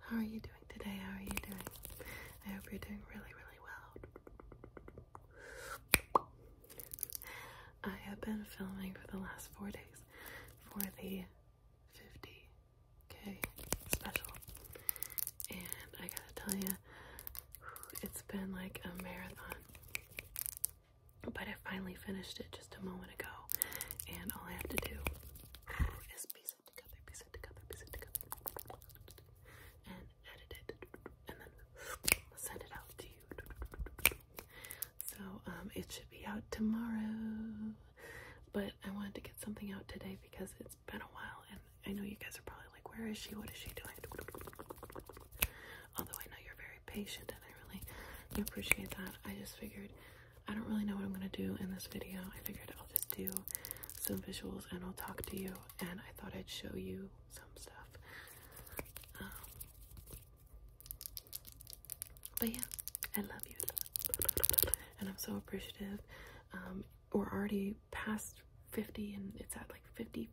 How are you doing today? How are you doing? I hope you're doing really, really well. I have been filming for the last four days for the 50k special, and I gotta tell you, it's been like a marathon. But I finally finished it just a moment ago, and all I have to do is piece it together, piece it together, piece it together, and edit it, and then send it out to you. So um, it should be out tomorrow, but I wanted to get something out today because it's been a while, and I know you guys are probably like, "Where is she? What is she doing?" Although I know you're very patient and I really appreciate that, I just figured I don't really know what I'm going to do in this video. I figured I'll just do some visuals and I'll talk to you, and I thought I'd show you some stuff. Um, but yeah, I love you. And I'm so appreciative. Um, we're already past 50 and it's at like 50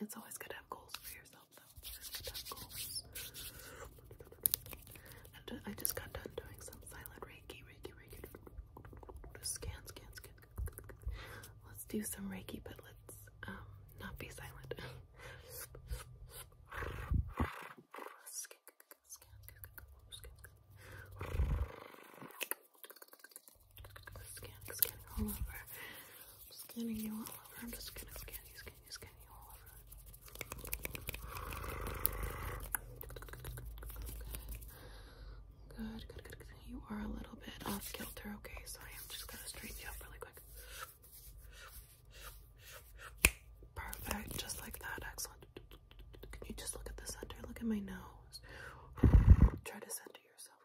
It's always good to have goals for yourself, though. I just got done doing some silent Reiki, Reiki, Reiki. Scan, scan, scan. Let's do some Reiki, but let's um not be silent. scan, scan, scan. Scanning, scanning all over. I'm scanning you all over. I'm just gonna scan you, scan you, scan you all over. Good. Good, good, good, good. You are a little bit off uh, kilter, okay? So I am just gonna straighten you up really quick. Perfect, just like that. Excellent. Can you just look at the center? Look at my nose. Try to center yourself.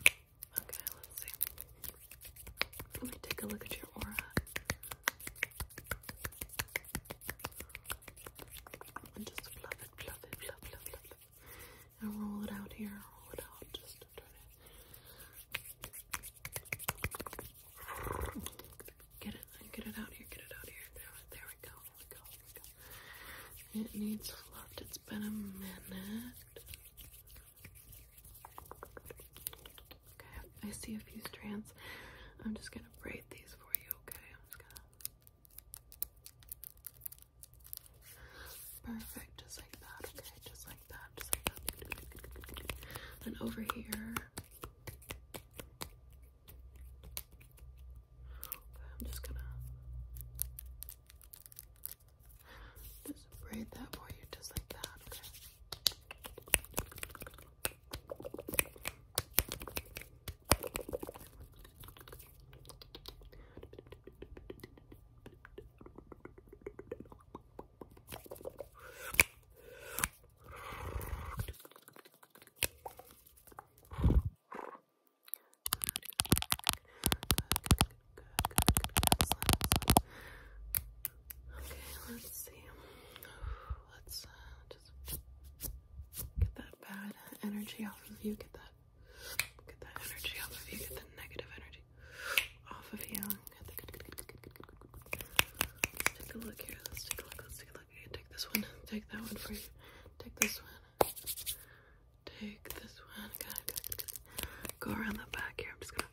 Okay, let's see. Let me take a look at your aura. And just fluff it, fluff it, fluff, fluff, fluff, And roll it out here, roll it out, just Get it, get it out here, get it out here. there we go. It needs fluffed. It's been a minute. Okay, I see a few strands. I'm just gonna braid these for you, okay? I'm just gonna. Perfect, just like that, okay? Just like that, just like that. And over here. I'm just gonna just braid that for you just like that, okay? Okay, let's see. Let's uh, just get that bad energy off of you. Get that, get that energy off of you. Get the negative energy off of you. Get the good, good, good, good, good, good, good, good. Let's take a look here. Let's take a look. Let's take a look. Take this one. Take that one for you. Take this one take this one, go around the back here. I'm just gonna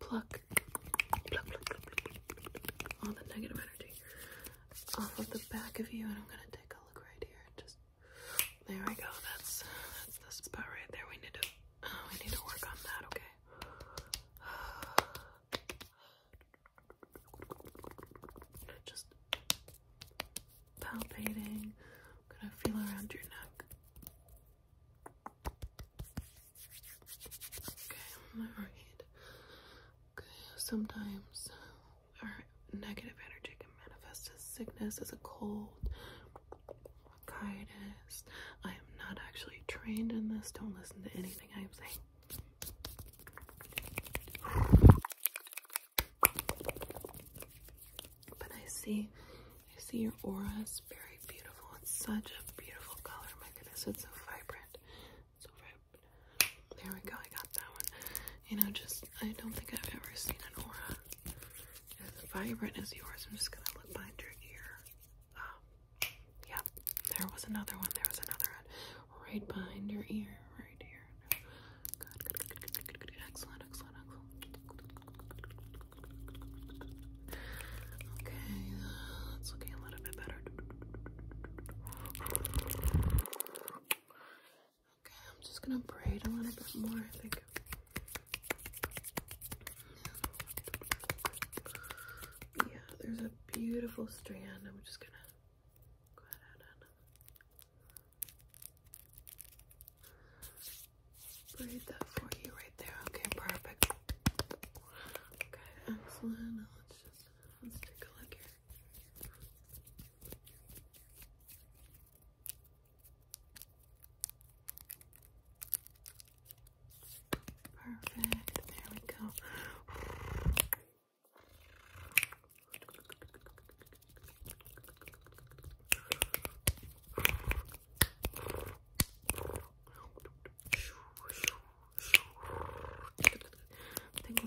pluck, pluck, pluck, pluck, all the negative energy off of the back of you, and I'm gonna take a look right here. Just there we go. That's that's the spot right there. We need to uh, we need to work on that. Okay. Just palpating. i gonna feel around your neck. Okay, alright. Okay, sometimes our negative energy can manifest as sickness, as a cold, bronchitis. I am not actually trained in this. Don't listen to anything I am saying. But I see, I see your aura is very beautiful. It's such a beautiful color. My goodness, it's so vibrant. There we go. I got that one. You know, just I don't think I've ever seen an aura as vibrant as yours. I'm just gonna look behind your ear. Um, yep. There was another one. There was another one right behind your ear, right here. Okay, it's looking a little bit better. Okay, I'm just gonna braid a little bit more, Yeah, there's a beautiful strand. I'm just gonna Breathe that for you right there. Okay, perfect. Okay, excellent. Now let's just let's take a look here. Perfect. There we go. Tingle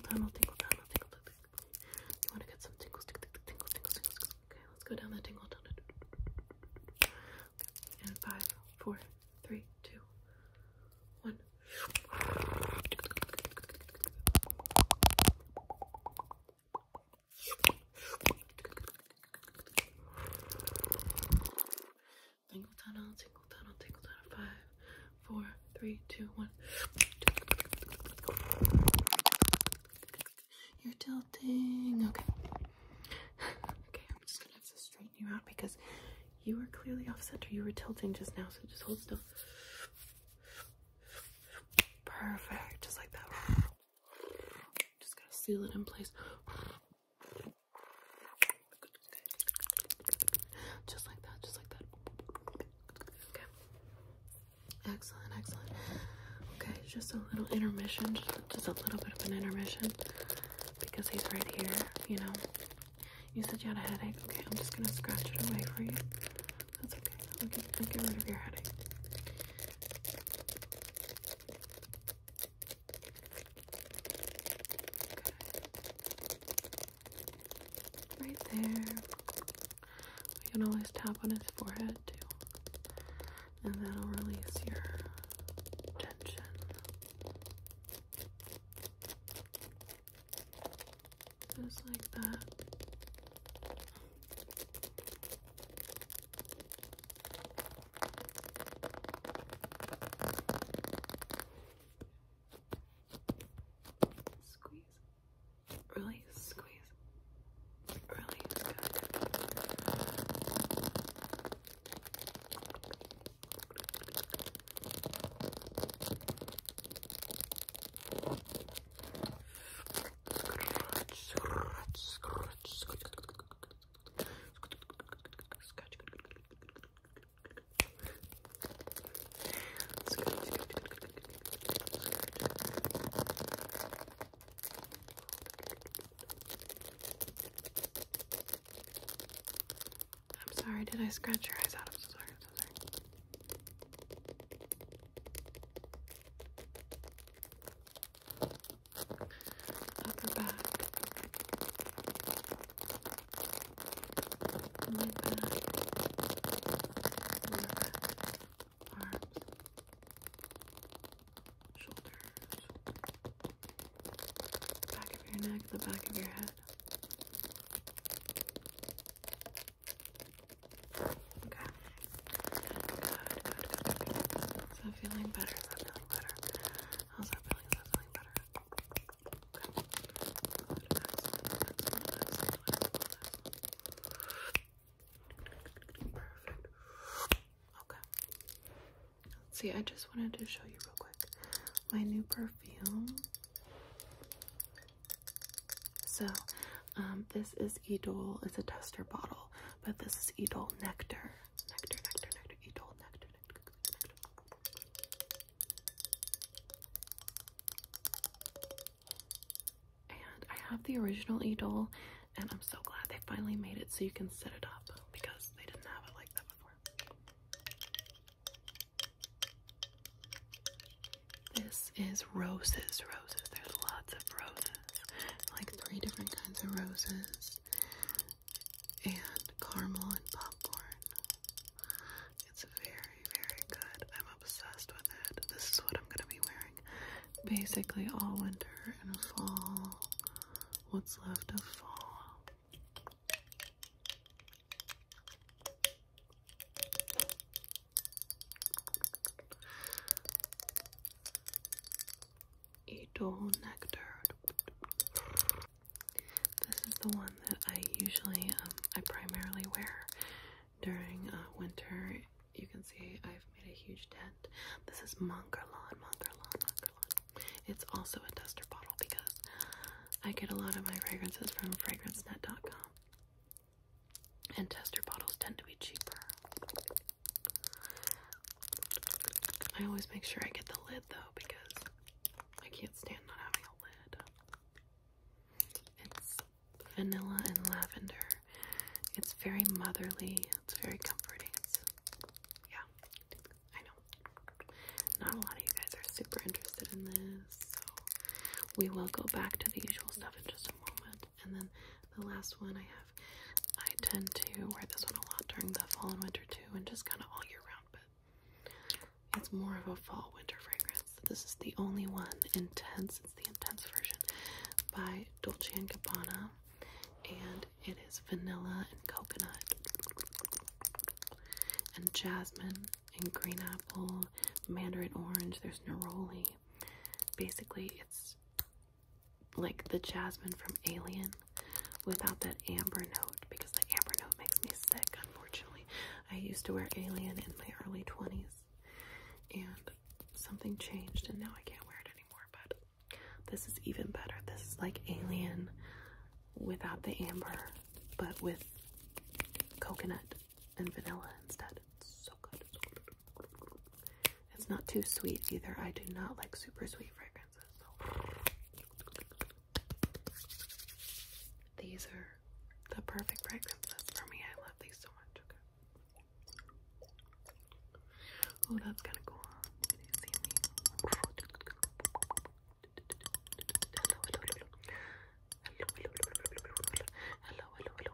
tunnel, tingle tunnel, tingle tunnel. You want to get some tingles, tingles, tingles, tingles, tingles. Okay, let's go down the tingle tunnel. Okay. And five, four, three, two, one. Tingle tunnel, tingle tunnel, tingle Five, four, three, two, one. You're tilting. Okay. okay, I'm just gonna have to straighten you out because you were clearly off center. You were tilting just now, so just hold still. Perfect, just like that. Just gotta seal it in place. Just like that, just like that. Okay. Excellent, excellent. Okay, just a little intermission, just a little bit of an intermission because he's right here, you know. You said you had a headache. Okay, I'm just gonna scratch it away for you. That's okay. I'll get, I'll get rid of your headache. Good. Right there. You can always tap on his forehead too. And that'll release your tension. Just like that. Squeeze. Release, squeeze. Release. Good. I'm sorry, did I scratch your eyes out? I'm so sorry, I'm so sorry upper back, mid back, lower back, arms, shoulders, back of your neck, the back of your head. Okay. Good, feeling better? feeling better? How's that feeling? Is that feeling better? Perfect. Okay. See, I just wanted to show you real quick my new perfume. So, um, this is Edol. It's a tester bottle, but this is Edol Nectar. Nectar, nectar, nectar, Edol Nectar, nectar, nectar. And I have the original Edol, and I'm so glad they finally made it so you can set it up because they didn't have it like that before. This is roses, roses. There's lots of roses, like three different kinds of roses, and caramel and popcorn. It's very, very good. I'm obsessed with it. This is what I'm gonna be wearing basically all winter and fall. What's left of fall. Edel nectar. This is the one that I usually, um, I primarily wear during uh, winter. You can see I've made a huge dent. This is Monkerlon, Monkerlon, Monkerlon. It's also a duster bottle because I get a lot of my fragrances from FragranceNet.com and tester bottles tend to be cheaper. I always make sure I get the lid though because I can't stand not having a lid. It's vanilla and lavender. It's very motherly. It's very comforting. yeah, I know. Not a lot of you guys are super interested in this, so we will go back to the usual stuff in just a moment. And then the last one I have, I tend to wear this one a lot during the fall and winter too, and just kind of all year round, but it's more of a fall winter fragrance. This is the only one intense, it's the intense version by Dolce and Gabbana, and it is vanilla and coconut and jasmine and green apple, mandarin orange, there's neroli, Basically, it's like the jasmine from Alien without that amber note because the amber note makes me sick, unfortunately. I used to wear Alien in my early 20s and something changed and now I can't wear it anymore, but this is even better. This is like Alien without the amber, but with coconut and vanilla instead. It's so good. It's not too sweet either. I do not like super sweet fragrances. These are the perfect fragrances for me. I love these so much. Okay. Oh, that's kind of see me? hello, hello, hello, hello, hello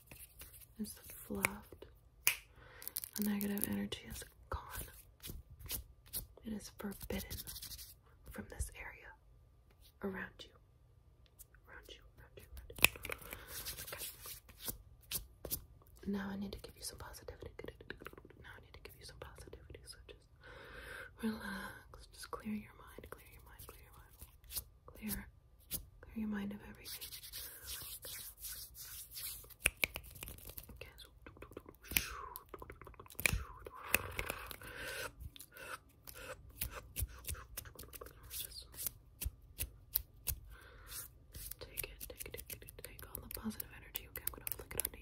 It's fluffed. The negative energy is gone. It is forbidden from this area around you. Around you, around you, Now I need to give you some positivity. Now I need to give you some positivity. So just relax. Just clear your mind, clear your mind, clear your mind. Clear Clear your mind of everything. Okay. Take it, take all the positive energy. Okay, I'm gonna flick it onto you.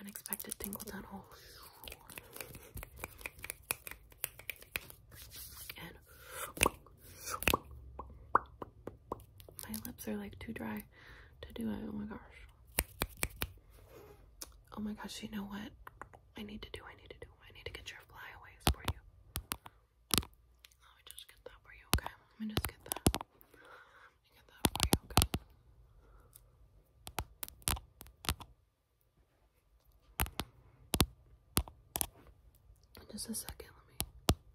Unexpected tingle tunnel. And my lips are like too dry to do it. Oh my gosh. Oh my gosh, you know what? I need to do, I need to do, I need to get your flyaways for you. Let me just get that for you, okay? Let me just get that just a second, let me. Just,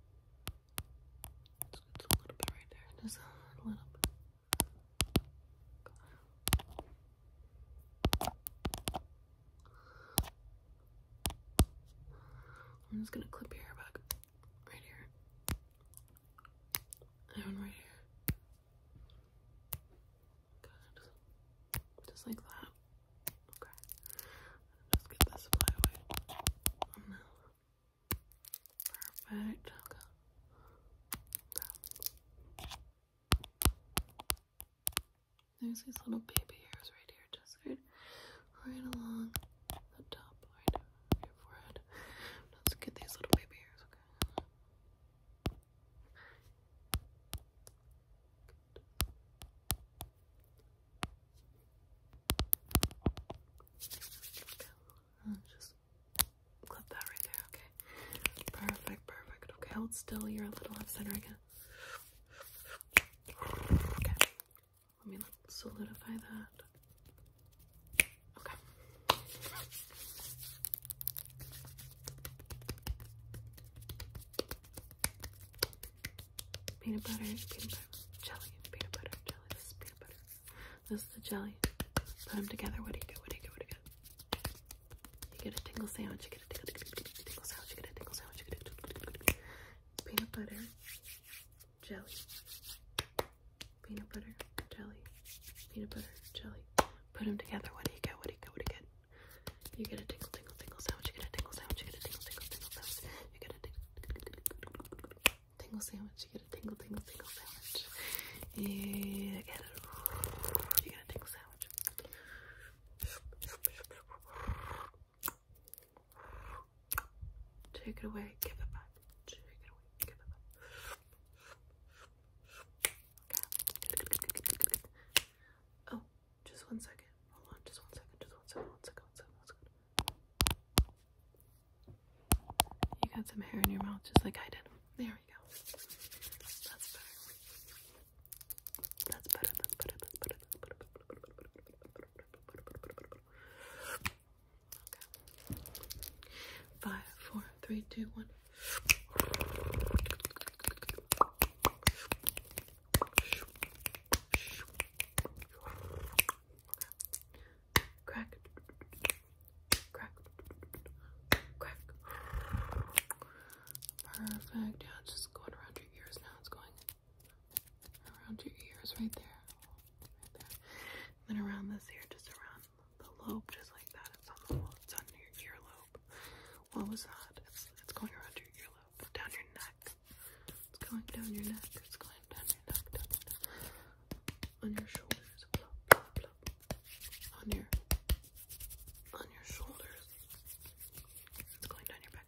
a little bit right there. Just a little I'm just gonna clip your hair back right here. That one right here. Good. Just like that. Okay. Just get this away. Mm-hmm. Perfect. There's these little baby hairs right here, just right, right along the top Let's get these little baby hairs, okay? Just clip that right there, okay? Perfect, perfect. Okay, hold still. You're a little off center again. Okay. Let me solidify that. Okay. Peanut butter, peanut butter, jelly, peanut butter, jelly. This is peanut butter. This is the jelly. Put them together. What do you get? What do you get? What do you get? You get a tingle sandwich. You get a tingle, tingle, tingle, tingle sandwich. You get a tingle sandwich. You get a tingle, tingle, tingle, tingle. peanut butter, jelly, peanut butter, jelly, peanut butter, jelly. Put them together. What do you get? What do you get? What do you get? You get a tingle, tingle, tingle sandwich. You get a tingle sandwich. You get a tingle, tingle, tingle sandwich. You get a tingle sandwich. You get a tingle, tingle, tingle sandwich. You get a you get a tingle sandwich. Take it away, give it back. Oh, just one second. Hold on, just one second, just one second, one second, one second, one second. You got some hair in your mouth just like I did. There we go. that's better, that's better Okay. Five, four, three, two, one. Okay. Crack. Crack. Crack. Perfect. Yeah, it's just going around your ears now. It's going around your ears right there. Right there. And then around this here, just around the lobe, just like that. It's on the wall. It's on your earlobe. What was that? It's going around your earlobe, down your neck. It's going down your neck. It's going down your neck. On your shoulders. On your on your shoulders. It's going down your back.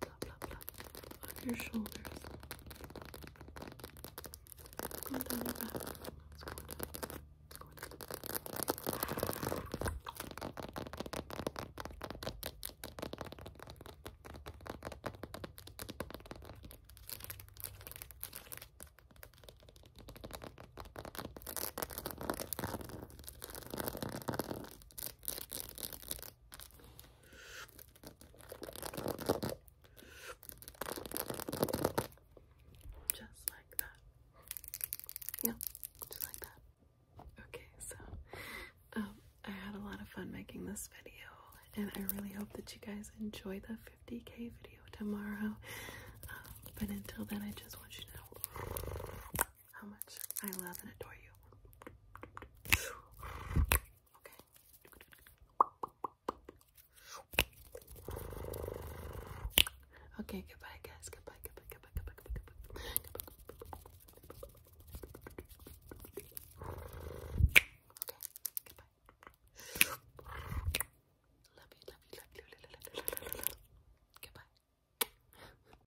Bla bla bla, On your shoulders. It's going down your back. Just like that. Yeah, just like that. Okay, so um, I had a lot of fun making this video, and I really hope that you guys enjoy the 50k video tomorrow. Um, but until then, I just want you to know how much I love and adore you. Okay. Okay, goodbye guys. Goodbye, goodbye, goodbye, goodbye, goodbye, goodbye. Okay, goodbye. Love you, love you, love you, Goodbye.